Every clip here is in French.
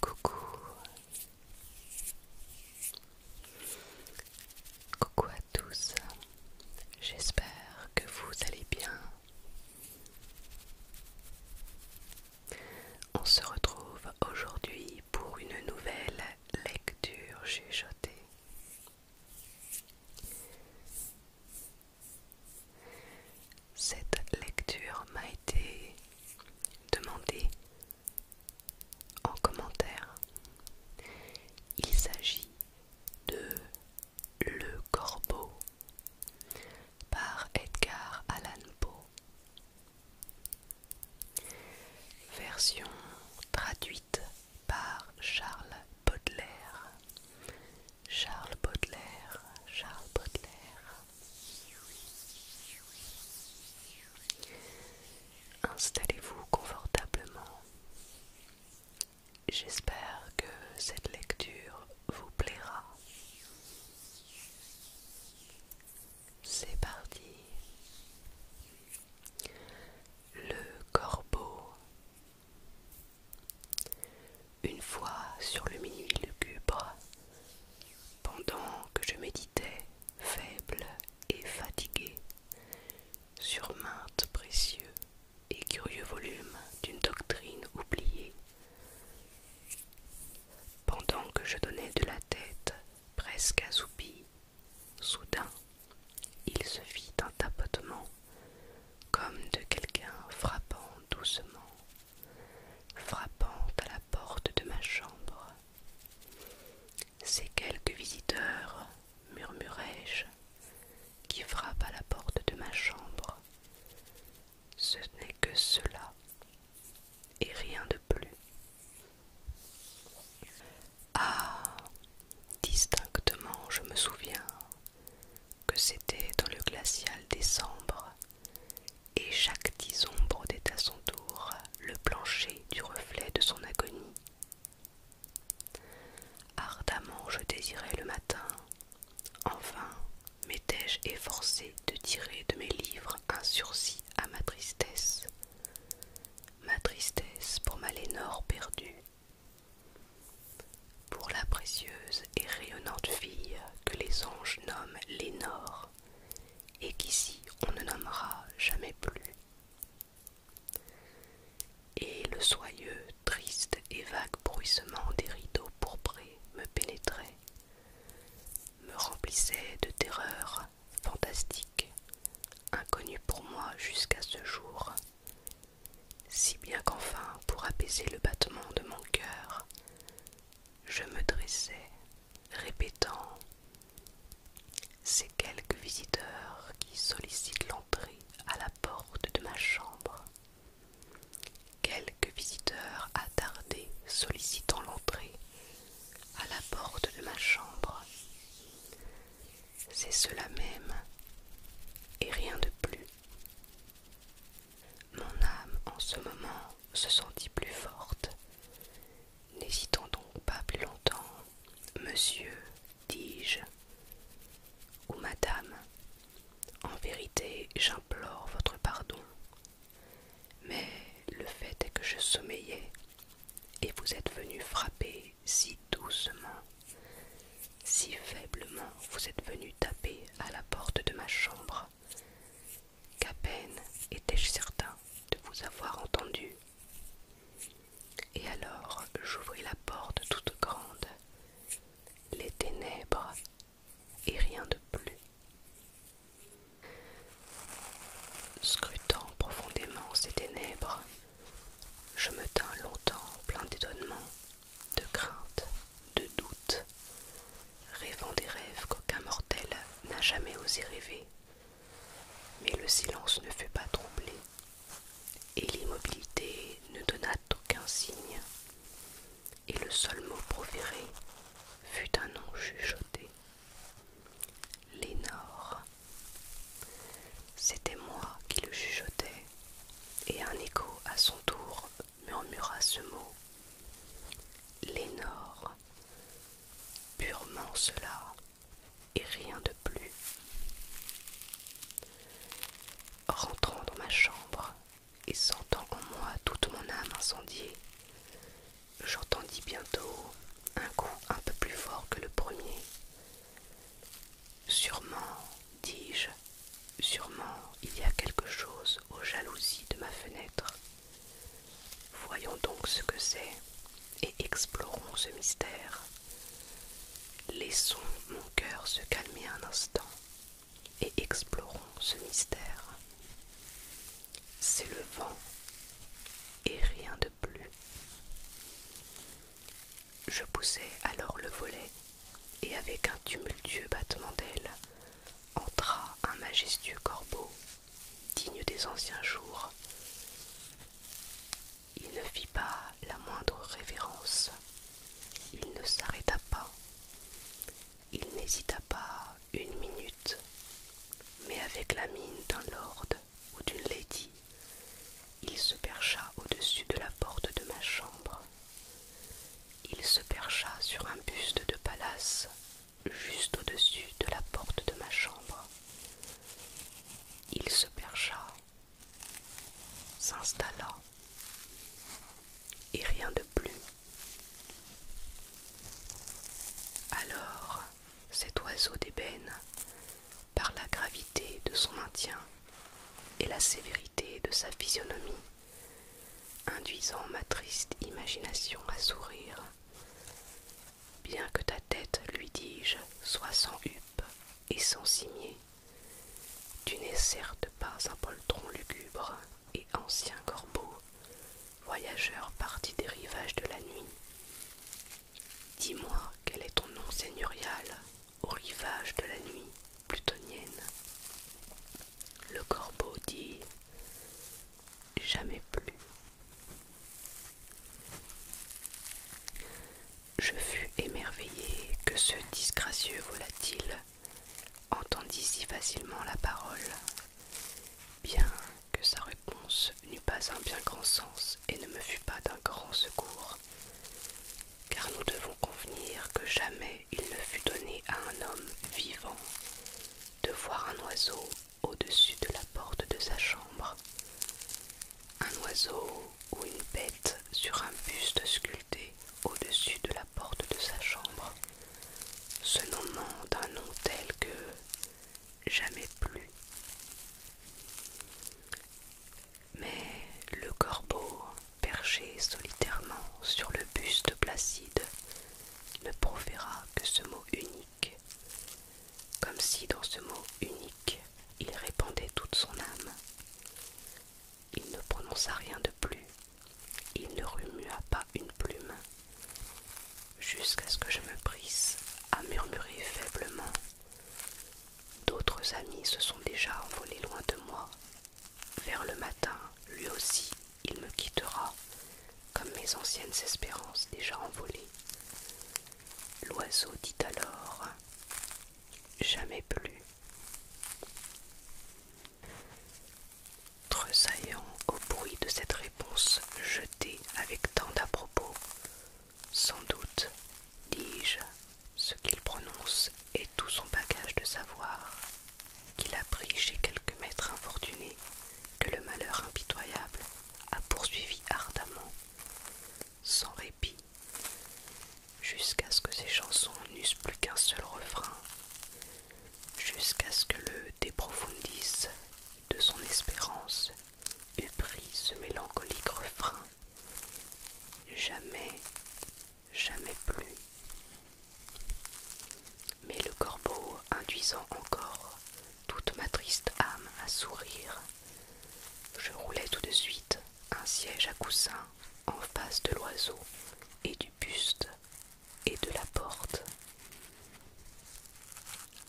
Coucou. Coucou à tous. J'espère que vous allez bien. On se retrouve aujourd'hui pour une nouvelle lecture chuchotée. Cette lecture m'a été demandée en commentaire. Il s'agit de Le Corbeau par Edgar Allan Poe. Version traduite par Charles Baudelaire Charles Baudelaire, Charles Baudelaire. Installez-vous confortablement. J'espère que cette lecture vous plaira. C'est parti. Le corbeau. Une fois sur le minuit lugubre, pendant que je méditais, faible et fatigué, sur maintes précieux et curieux volumes d'une doctrine oubliée, pendant que je donnais de la tête, presque assoupi, soudain, il se fit un tapotement comme de quelqu'un frappant doucement, frappant à la porte de ma chambre. C'est quelques visiteurs murmurai-je, qui frappe à la porte de ma chambre. Ce n'est que cela, et rien de plus. Ah, distinctement, je me souviens que c'était dans le glacial décembre, et chaque disombre était à son tour le plancher du reflet de son agonie. Ardemment je désirais le matin, enfin m'étais-je efforcé de tirer de mes livres un sursis à ma tristesse, ma tristesse pour ma Lénore perdue pour la précieuse et rayonnante fille que les anges nomment Lénore, et qu'ici on ne nommera jamais plus. Et le soyeux, triste et vague bruissement des rideaux pourprés me pénétrait, me remplissait de terreur fantastique, inconnues pour moi jusqu'à ce jour, si bien qu'enfin, pour apaiser le battement de mon cœur, je me dressais, répétant c'est quelques visiteurs qui sollicitent l'entrée à la porte de ma chambre. Quelques visiteurs attardés sollicitant l'entrée à la porte de ma chambre. C'est cela même, et rien de plus. Mon âme en ce moment se sentit plus forte. N'hésitons donc pas plus longtemps, Monsieur, dis-je, ou Madame, en vérité j'implore votre pardon. Mais le fait est que je sommeillais et vous êtes venu frapper si doucement si faiblement vous êtes venu taper à la porte de ma chambre, qu'à peine étais-je certain de vous avoir entendu. Et alors j'ouvris la porte toute grande, les ténèbres et rien de plus. Scrutant profondément ces ténèbres, je me tins longtemps plein d'étonnement de crainte, de doute, rêvant des rêves qu'aucun mortel n'a jamais osé rêver. Mais le silence ne fut pas troublé, et l'immobilité ne donna aucun signe, et le seul mot proféré fut un nom chuchoté. Lénore. C'était moi qui le chuchotais, et un écho à son tour murmura ce mot. Lénore. Purement cela, et rien de plus. Rentrant dans ma chambre et sentant en moi toute mon âme incendiée, j'entendis bientôt un coup un peu plus fort que le premier. Sûrement, dis-je, Sûrement il y a quelque chose aux jalousies de ma fenêtre. Voyons donc ce que c'est et explorons ce mystère. Laissons mon cœur se calmer un instant et explorons ce mystère. C'est le vent et rien de plus. Je poussai alors le volet et avec un tumultueux battement d'ailes, entra un majestueux corbeau, digne des anciens jours. Il ne fit pas la moindre révérence, il ne s'arrêta pas, il n'hésita pas une minute, mais avec la mine d'un lord ou d'une lady, il se percha au-dessus de la porte de ma chambre il se percha sur un buste de palace, juste au-dessus de la porte de ma chambre. Il se percha, s'installa, et rien de plus. Alors, cet oiseau d'ébène, par la gravité de son maintien et la sévérité de sa physionomie, induisant ma triste imagination à sourire. Bien que ta tête, lui dis-je, soit sans huppe et sans cimier, tu n'es certes pas un poltron lugubre et ancien corbeau, voyageur parti des rivages de la nuit. Dis-moi quel est ton nom seigneurial au rivage de la nuit plutonienne. Le corbeau dit jamais plus. Je fus émerveillé que ce disgracieux volatile entendît si facilement la parole, bien que sa réponse n'eût pas un bien grand sens et ne me fût pas d'un grand secours car nous devons convenir que jamais il ne fut donné à un homme vivant de voir un oiseau au-dessus de la porte de sa chambre. Un oiseau ou une bête sur un buste sculpté au-dessus de la porte de sa chambre, se nommant d'un nom tel que jamais plus. Mais le corbeau perché solitairement sur le buste placide, ne proféra que ce mot unique, comme si dans ce mot unique il répandait toute son âme. Il ne prononça rien de plus, il ne remua pas une plume, jusqu'à ce que je me prisse à murmurer faiblement. D'autres amis se sont déjà envolés loin de moi, vers le lui aussi, il me quittera, comme mes anciennes espérances déjà envolées. L'oiseau dit alors Jamais plus. Tressaillant au bruit de cette réponse jetée avec tant d'à-propos, sans doute, dis-je ce qu'il prononce est tout son bagage de savoir, qu'il a pris chez quelques maîtres infortunés, que le malheur impitoyable a poursuivi ardemment, sans répit, jusqu'à ce que ses chansons n'eussent plus qu'un seul refrain, jusqu'à ce que le déprofundisse de son espérance eût pris ce mélancolique refrain. Jamais, jamais plus. Mais le corbeau, induisant encore toute ma triste âme à sourire, je roulais tout de suite un siège à coussin en face de l'oiseau et du buste et de la porte.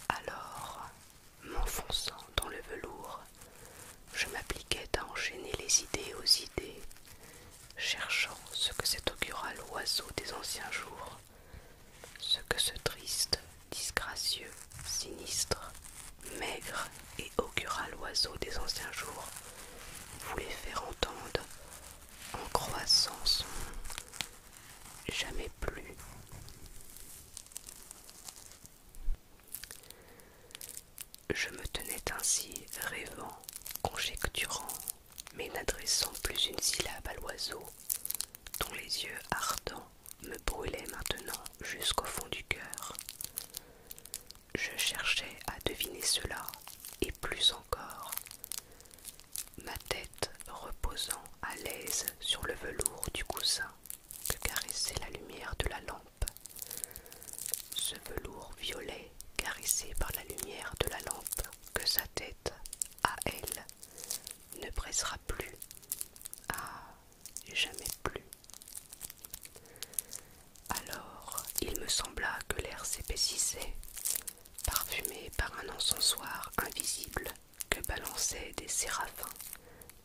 Alors, m'enfonçant dans le velours, je m'appliquais à enchaîner les idées aux idées cherchant ce que cet augural oiseau des anciens jours, ce que ce triste, disgracieux, sinistre, maigre et augural oiseau des anciens jours voulait faire entendre en croissance, jamais plus. Je me tenais ainsi, rêvant, conjecturant, mais n'adressant plus une syllabe à l'oiseau, dont les yeux ardents me brûlaient maintenant jusqu'au fond du cœur. Je cherchais à deviner cela, et plus encore. Ma tête reposant à l'aise sur le velours du coussin que caressait la lumière de la lampe. Ce velours violet, caressé par la lumière de la lampe, que sa tête, à elle, ne pressera plus. Ah, jamais plus. Alors, il me sembla que l'air s'épaississait, parfumé par un encensoir invisible que balançaient des séraphins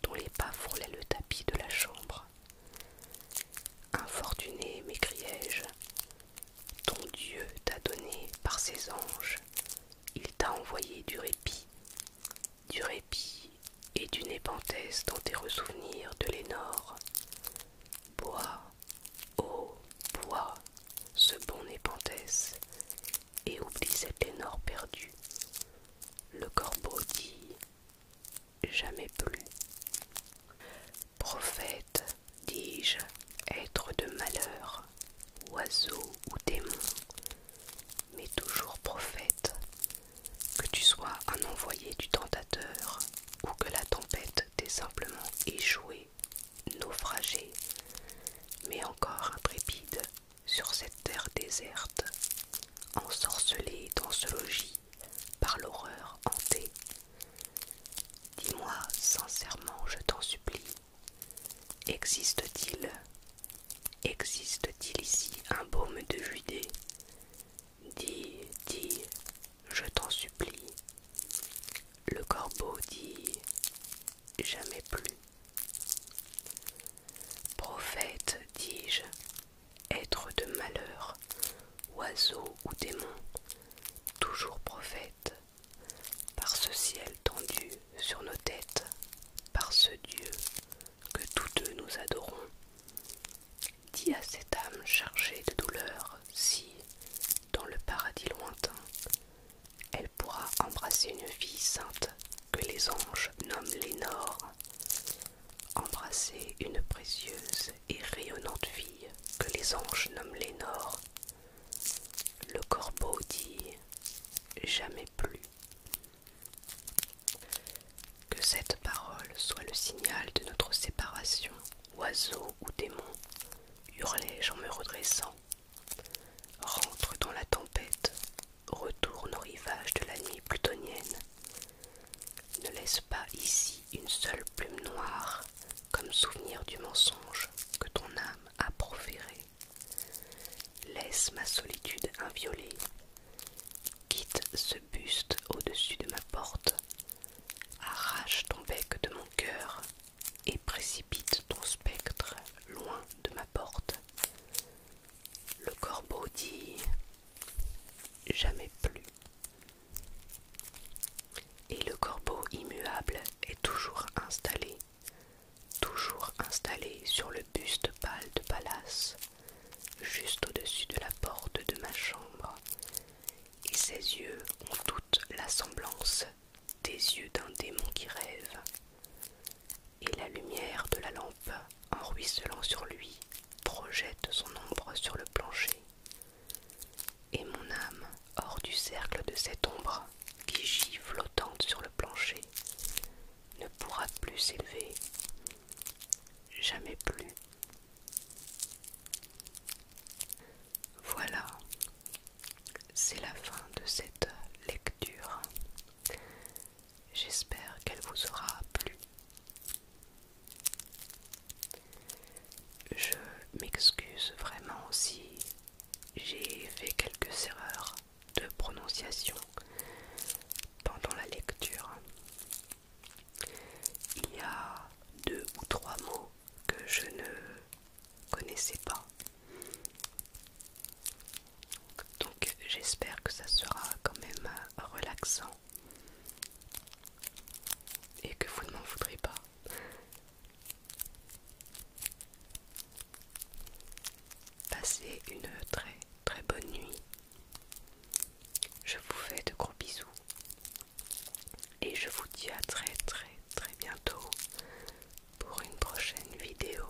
dont les pas frôlaient le tapis de la chambre. Infortuné m'écriai-je, ton Dieu t'a donné par ses anges, il t'a envoyé du répit, du répit et du épantesse dans tes ressouvenirs de l'énor. Bois, oh, bois, ce bon épantesse, et oublie cette lénore perdu. Le corbeau dit jamais plus. Prophète, dis-je, être de malheur, oiseau ou démon, mais toujours prophète, que tu sois un envoyé du tentateur ou que la tempête t'ait simplement échoué, naufragé, mais encore intrépide sur cette terre déserte, ensorcelé dans ce logis par l'horreur hantée. Dis-moi sincèrement, je t'en supplie, existe-t-il, existe-t-il ici un baume de Judée Dis, dis, je t'en supplie. Le corbeau dit jamais plus. Prophète, dis-je, être de malheur, oiseau ou démon, toujours prophète, par ce ciel tendu sur nos têtes, par ce Dieu que tous deux nous adorons. Dis à cette âme chargée de douleur si, dans le paradis lointain, elle pourra embrasser une vie sainte que les anges nomment l'énore, Embrasser une précieuse et rayonnante fille que les anges nomment Lénore. Le corbeau dit Jamais plus. Que cette parole soit le signal de notre séparation, oiseau ou démon, hurlai-je en me redressant. Rentre dans la tempête, retourne au rivage de la nuit plutonienne. Ne laisse pas ici une seule plume noire comme souvenir du mensonge que ton âme a proféré. Laisse ma solitude inviolée. Quitte ce buste au-dessus de ma porte. Arrache ton bec de mon cœur et précipite ton spectre loin de ma porte. Le corbeau dit jamais plus. Et le corbeau immuable est toujours installé, toujours installé sur le buste pâle de Pallas, juste au-dessus de la porte de ma chambre, et ses yeux ont toute la semblance des yeux d'un démon qui rêve, et la lumière de la lampe en ruisselant sur lui, projette son ombre sur le plancher. Et mon âme, hors du cercle de cette ombre, qui gît flottante sur le plancher, ne pourra plus s'élever, jamais plus. Voilà, c'est la fin de cette lecture. J'espère qu'elle vous aura plu. Je m'excuse vraiment si j'ai fait quelques erreurs de prononciation pendant la lecture. Il y a deux ou trois mots que je ne connaissais pas. Donc j'espère que ça sera quand même relaxant et que vous ne m'en voudrez pas. Passez une très très bonne nuit. Je vous fais de gros bisous et je vous dis à très très très bientôt pour une prochaine vidéo.